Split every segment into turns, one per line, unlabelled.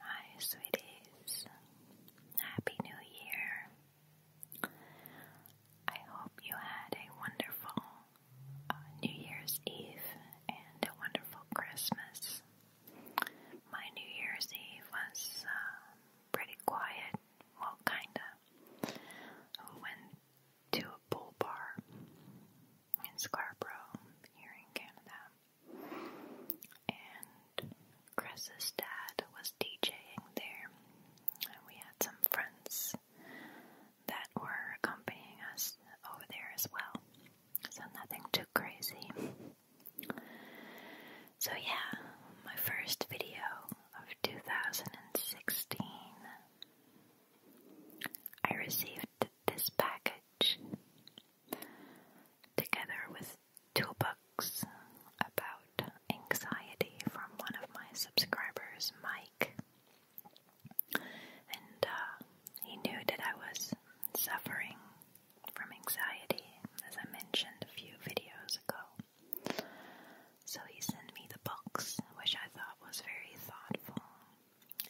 Hi, sweeties. Happy New Year. I hope you had a wonderful uh, New Year's Eve and a wonderful Christmas. My New Year's Eve was um, pretty quiet, well, kinda. went to a pool bar in Scarborough here in Canada. And Chris's dad was DJing there, and we had some friends that were accompanying us over there as well. So nothing too crazy. So, yeah, my first video of 2016 I received this package together with two books about anxiety from one of my subscribers, Mike. And uh, he knew that I was suffering from anxiety, as I mentioned a few videos ago. So he sent me the books, which I thought was very thoughtful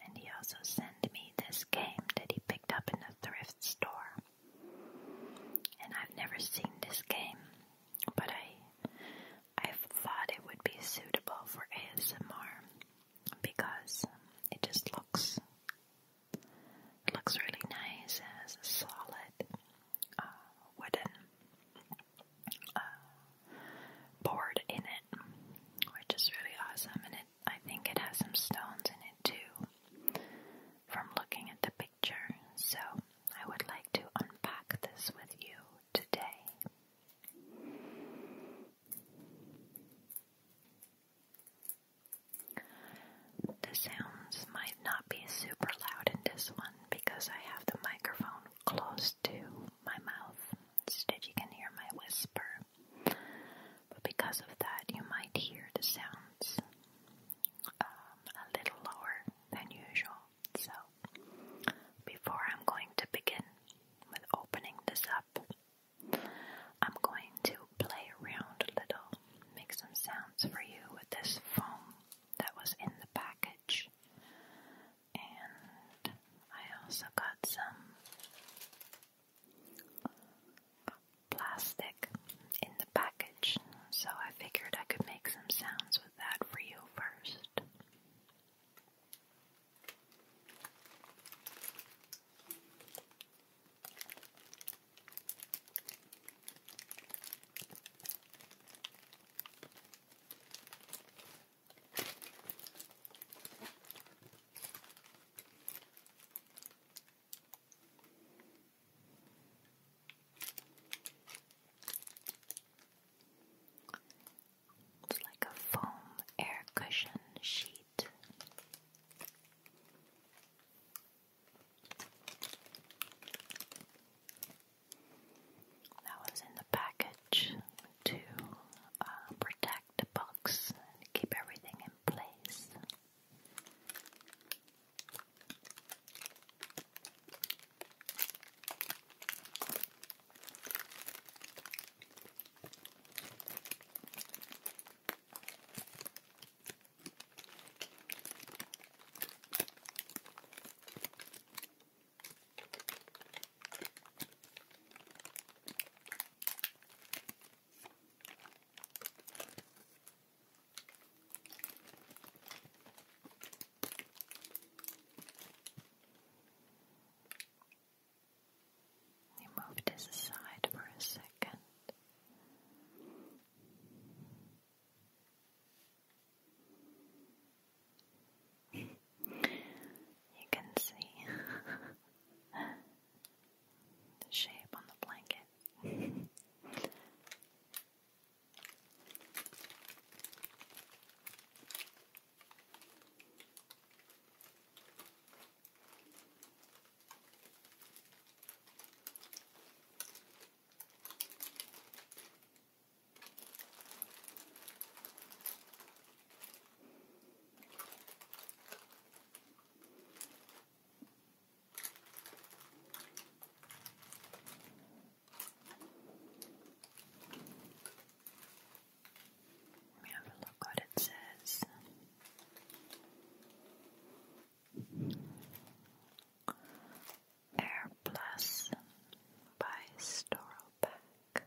and he also sent me this game that he picked up in a thrift store. And I've never seen this game, but I I thought it would be suitable for ASMR because it just looks it looks really nice as a solid uh, wooden board uh, in it, which is really awesome. And it, I think it has some stones in it too, from looking at the picture. So I would like to unpack this with you today. The sounds might not be super loud in this one because I have the microphone close to my mouth so that you can hear my whisper. But because of that, you might hear the sounds um, a little lower than usual. So, before I'm going to begin with opening this up, I'm going to play around a little, make some sounds for you with this foam that was in the package and I also got some plastic in the package, so I figured I could make some sounds with that for you first. It's like a foam air cushion sheet. That was in the package to uh, protect the box and keep everything in place. He moved his aside for a second. You can see the shape on the blanket. Let me have a look what it says. Air by Storopak.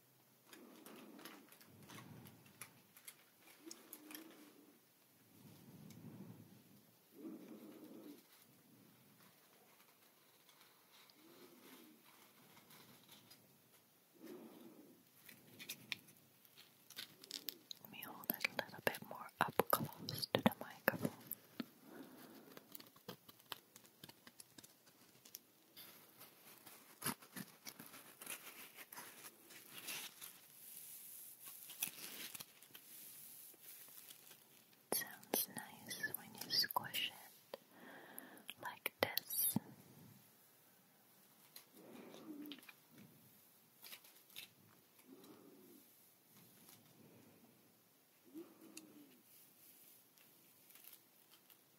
Let me hold it a little bit more up close to the microphone. It sounds nice when you squish it like this.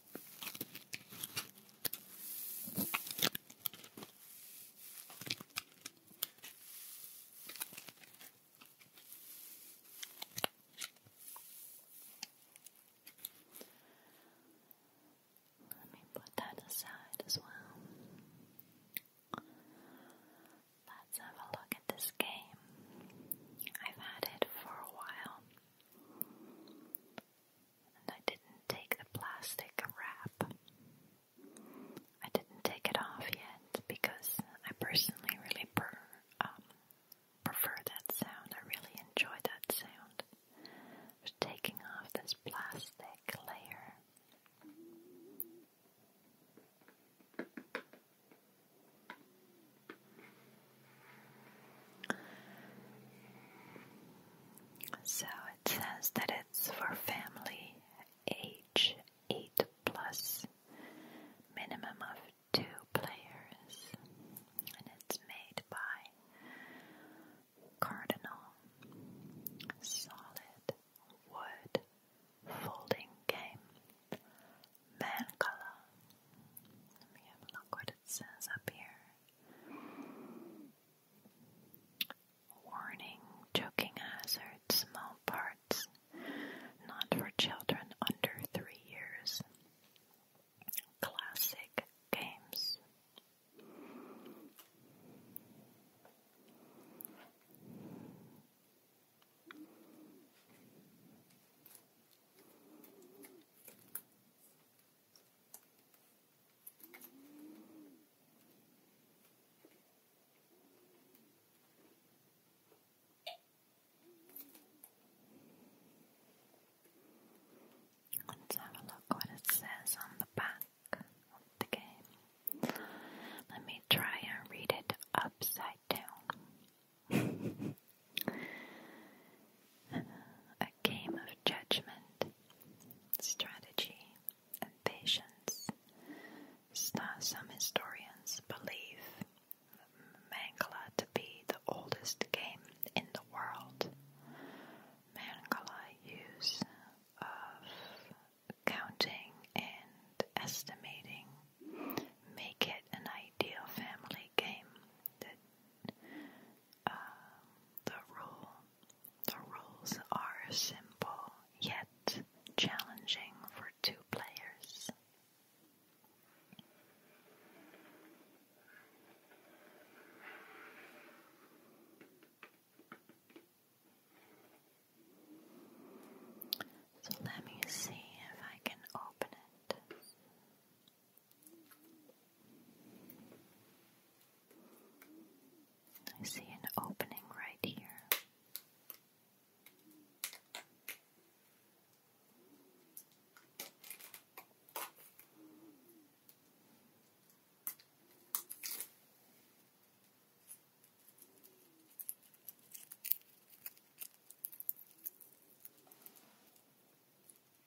Let me put that aside as well. Let's have a look at this game. I've had it for a while. I didn't take the plastic wrap. I didn't take it off yet because I personally really um, prefer that sound. I really enjoy that sound. taking off this plastic layer. So it says that it's for family age 8 plus, minimum of two players, and it's made by Cardinal Solid Wood Folding Game Mancala. Let me have a look what it says up here. Warning choking hazard, small parts, not for children under three years. Classic games. Let's have a look what it says on the back of the game. Let me try and read it upside down. A game of judgment, strategy, and patience. Some historians believe Mancala to be the oldest game in the world. Mancala use of counting and estimating make it an ideal family game the rule. The rules are simple yet challenging for two players. So let me see if I can open it. I see an opening right here.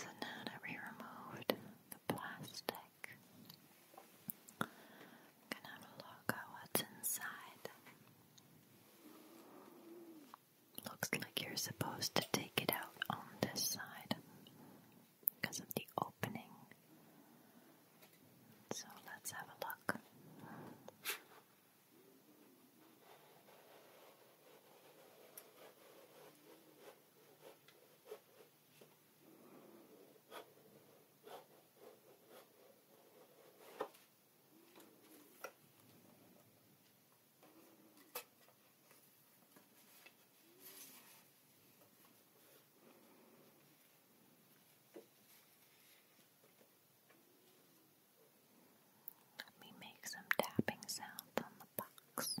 So now that we removed the plastic, can have look at what's inside. Looks like you're supposed to take it out on this side because of the opening. So let's have a look. Let me make some tapping sounds on the box.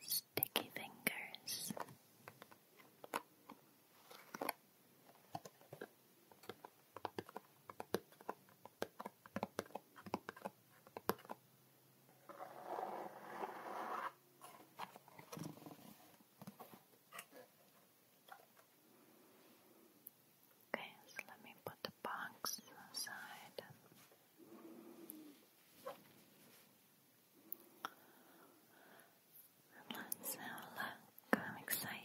Sticky fingers. Okay, so let me put the box aside. And let's have look. I'm excited.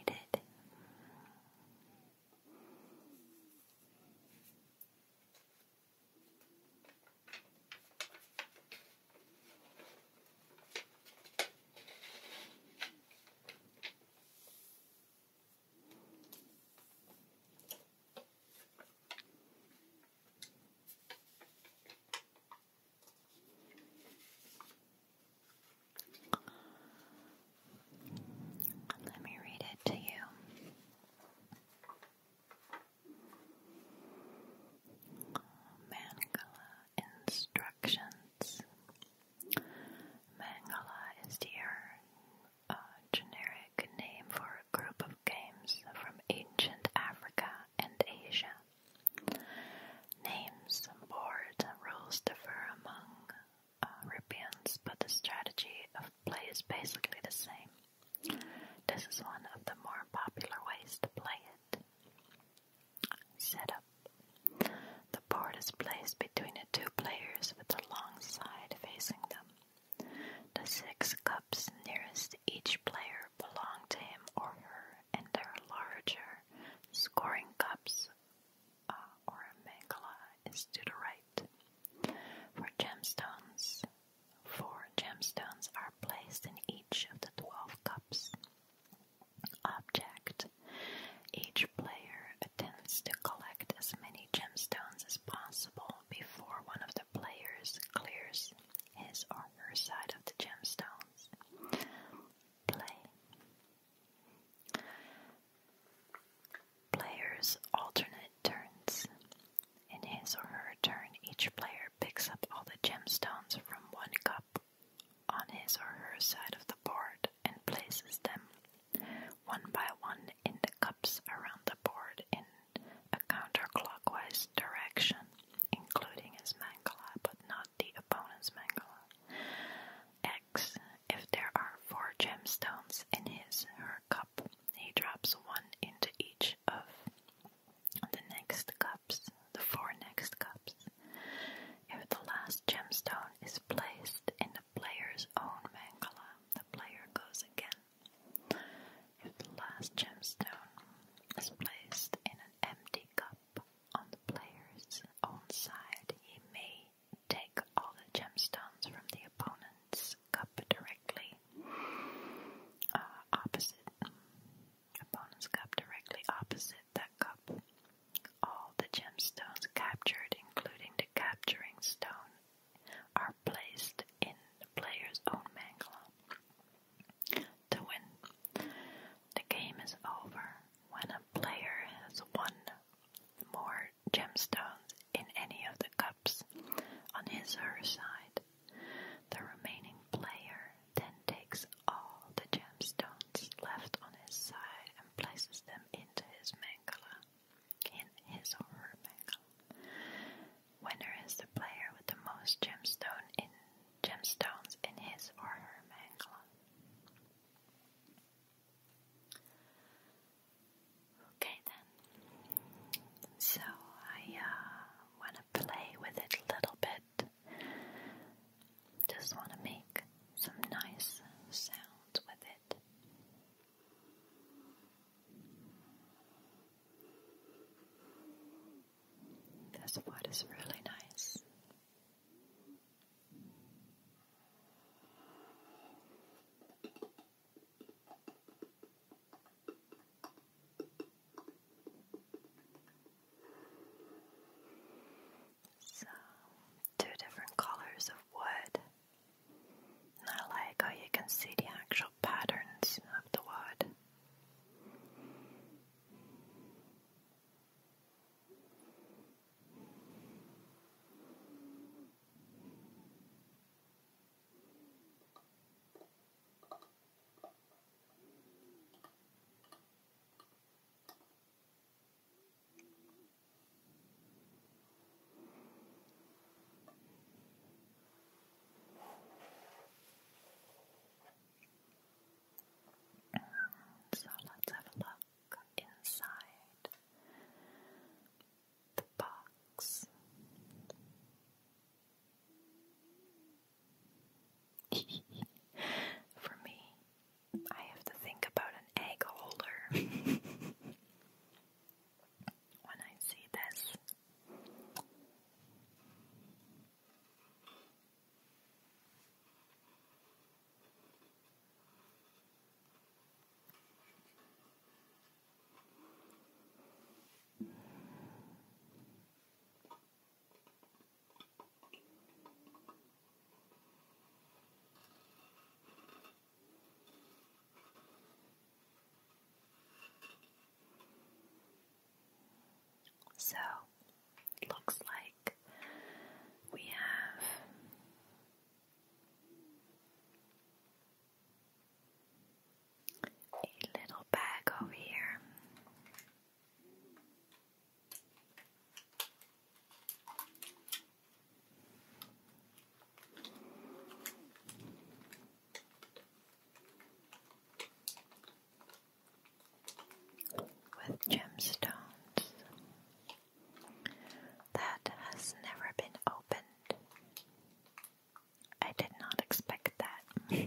Let me read it to you. Mangala instructions. Mangala is the a generic name for a group of games from ancient Africa and Asia. Names and board rules differ among Europeans, but the strategy of play is basically the same. This is one of the more popular ways to play it. Setup The board is placed between the two players with the long side facing them. The six cups nearest each player belong to him or her, and their larger scoring cups uh, or megala is to the right. For gemstones, four gemstones are placed in each of the twelve cups. Object Each player attempts to collect as many gemstones as possible before one of the players clears his or her side of the gemstones. Play. Players alternate turns. In his or her turn, each player picks up all the gemstones from one cup on his or her side of the board and places them one by one in the cups around the board in a counterclockwise direction, including his mangala but not the opponent's mangala. X. If there are four gemstones in his her cup, he drops one into each of the next cups, the four next cups. If the last gemstone is placed in the player's own mangala, the player goes again if the last gemstone is placed in an empty cup on the player's own side, he may take all the gemstones from the opponent's cup directly uh, opposite opponent's cup directly opposite that cup. All the gemstones captured, including the capturing stone, are placed in the player's own Mangala The game is over when a player has one more gemstone in any of the cups on his or her side. The remaining player then takes all the gemstones left on his side and places them into his mangala in his or her Mekal. Winner is the player with the most gemstone in gemstones in his or her Mekal. Okay then. So I uh, want to play with it a little bit. Just want to make some nice sounds with it. This wood is really nice. So, two different colors of wood and I like how you can see the actual patterns of the wood. So let's have a look inside the box. For me, I have to think about an egg holder. when I see this. So, it looks like we have a little bag over here with gemstones that has never been opened. I did not expect that.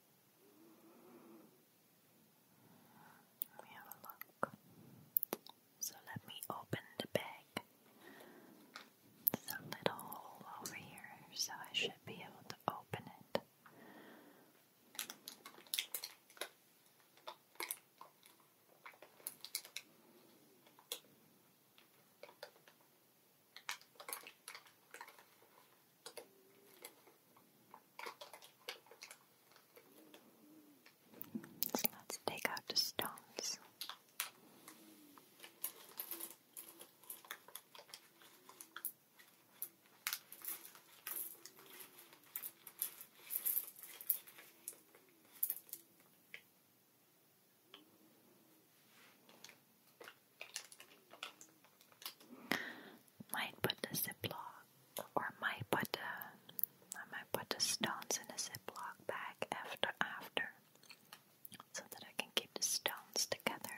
Let me have a look. So let me open the bag. There's a little hole over here, so I should be able to open it let's take out the stones. Might put a ziplock, or might put a, I might put the stones in a ziplock bag after after, so that I can keep the stones together.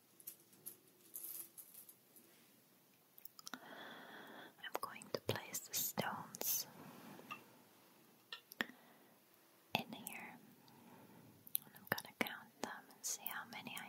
I'm going to place the stones in here and I'm going to count them and see how many I have.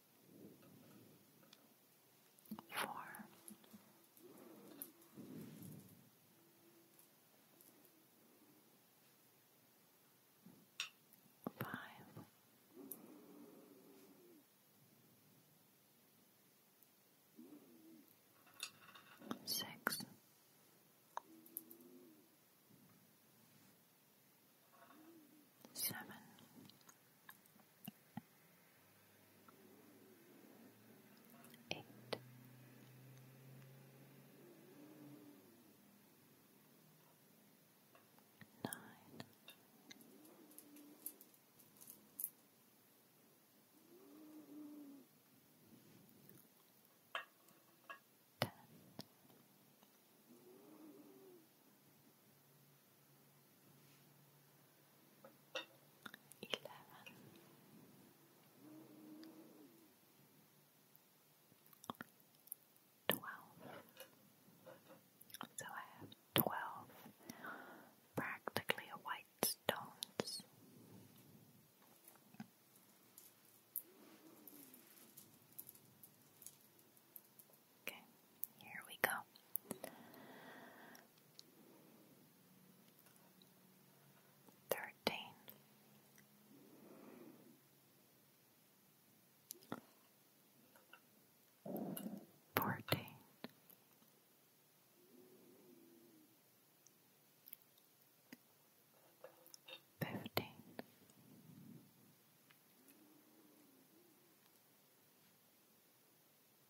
four, five. Six, seven, eight. Nine eleven, twelve. So I have twelve practically white stones. Okay, here we go. Thirteen. Fourteen. Fifteen.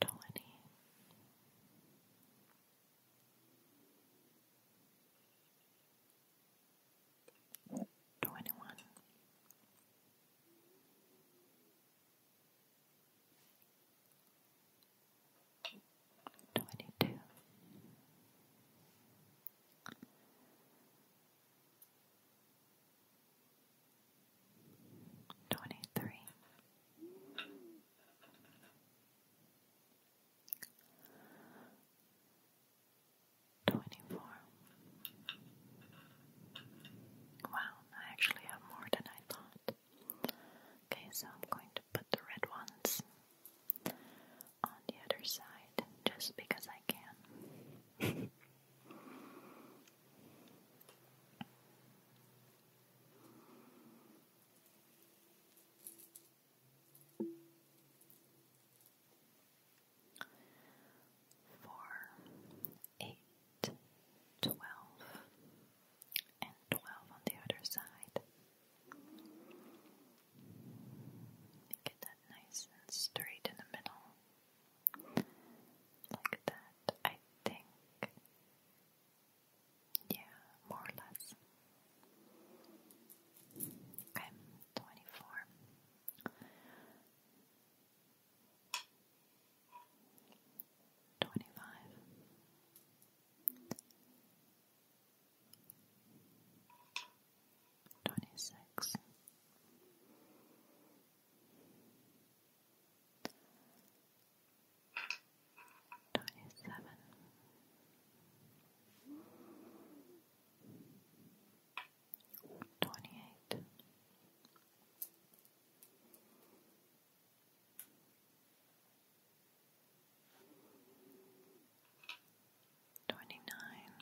Twenty. Twenty one, twenty two, Twenty three, twenty four. Wow, I actually have more than I thought. Okay, so I'm going to put the red ones on the other side just because I can. Four, eight, twelve, and twelve on the other side. Look at nice and straight in the middle. Like that, I think. Yeah, more or less. Okay, 24. Twenty five, twenty six, twenty seven. Twenty eight, twenty nine,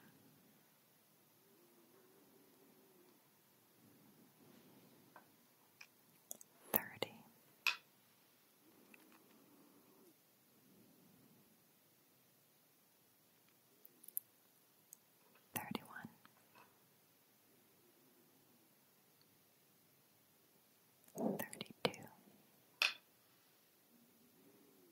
thirty. Thirty one, thirty two,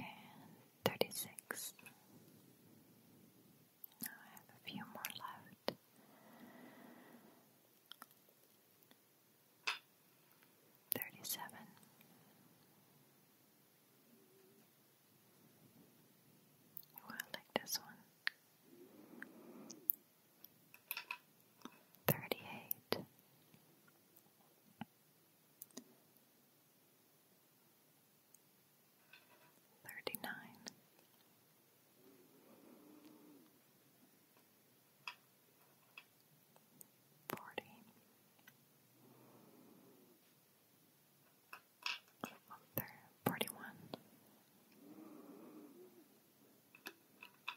and thirty six. I have a few more left. Thirty seven. Oh, like this one. Thirty eight thirty nine. Forty forty one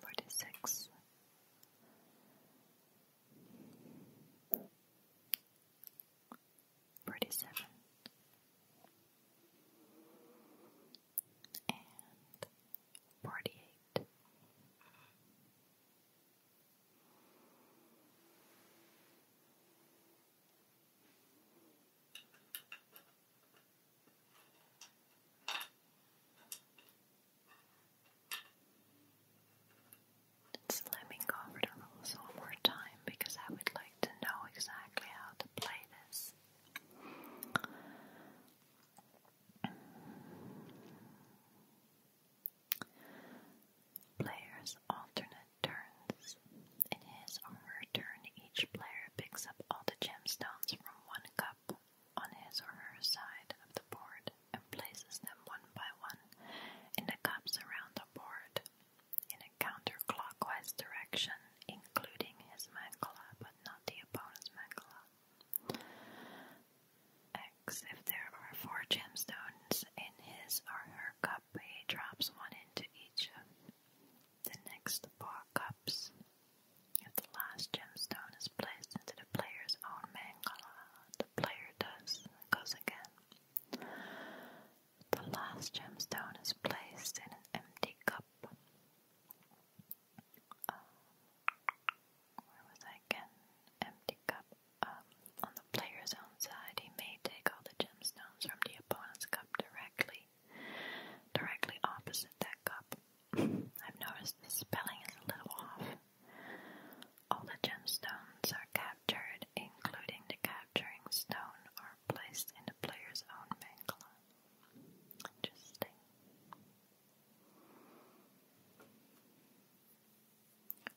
forty six, forty seven, and forty eight let me go over the one more time because I would like to know exactly how to play this. Players alternate turns. In his or her turn, each player picks up all the gemstones from one cup on his or her side of the board and places them one by one in the cups around the board in a counterclockwise direction, including his mangala but not the opponent's mangala. If there are four gemstones in his or her cup, he drops one into each the next bar cups. If the last gemstone is placed into the player's own mangala, the player does goes again. The last gemstone is placed in an empty cup. Um, where was I again? Empty cup. Um, on the player's own side, he may take all the gemstones from the opponent's cup directly directly opposite that cup. I've noticed the spelling is a little off. All the gemstones are captured, including the capturing stone, are placed in the player's own mangala. Interesting.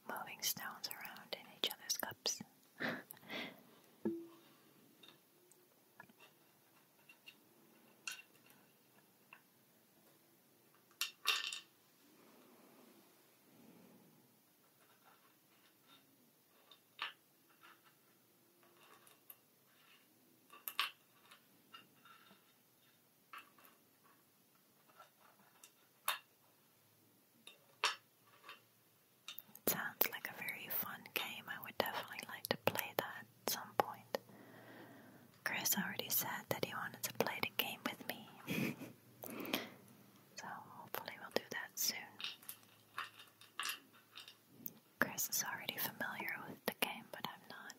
Moving stones around in each other's cups. It sounds like a very fun game. I would definitely like to play that at some point. Chris already said that he wanted to play the game with me. so hopefully we'll do that soon. Chris is already familiar with the game, but I'm not.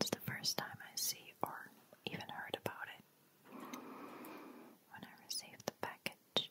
It's the first time I see or even heard about it when I received the package.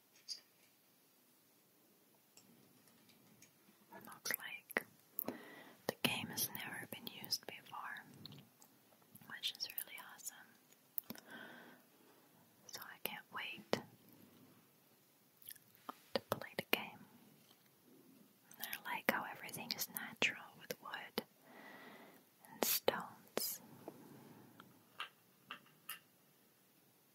Not like the game has never been used before, which is really awesome. So I can't wait to play the game. I like how everything is natural with wood and stones.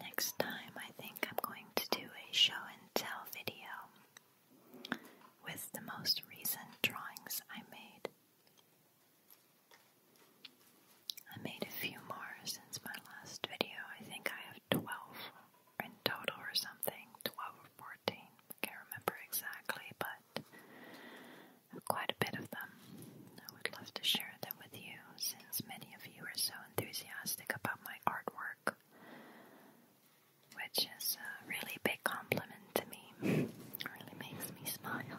Next time, I think I'm going to do a show and tell video with the most recent drawings I made. I made a few more since my last video. I think I have 12 in total or something 12 or 14. I can't remember exactly, but quite a bit of them. I would love to share them with you since many of you are so enthusiastic about my artwork, which is a really big compliment to me. really makes me smile.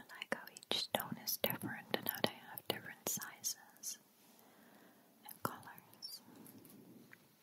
I like how each stone is different and how they have different sizes and colors.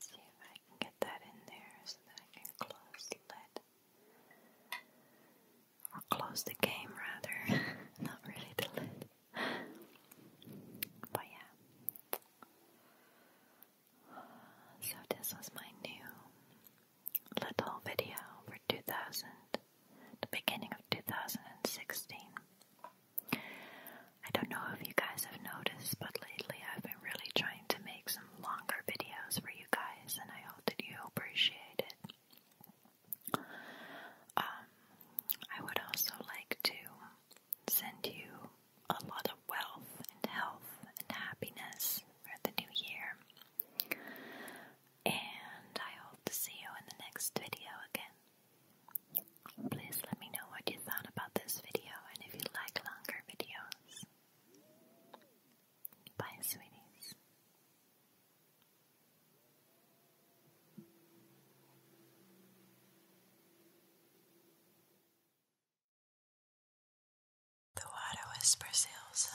See if I can get that in there so that I can close the or close the game rather, not really the lid. But yeah. So this was my new little video for 2000, the beginning of 2016. I don't know if you guys have noticed, but lately I've been really trying to make some longer videos for you guys, and I hope that you appreciate it. Um, I would also like to send you a lot of wealth and health and happiness for the new year. And I hope to see you in the next video again. Please let me know what you thought about this video and if you like longer videos. Bye, sweeties. The water whispers Ilsa.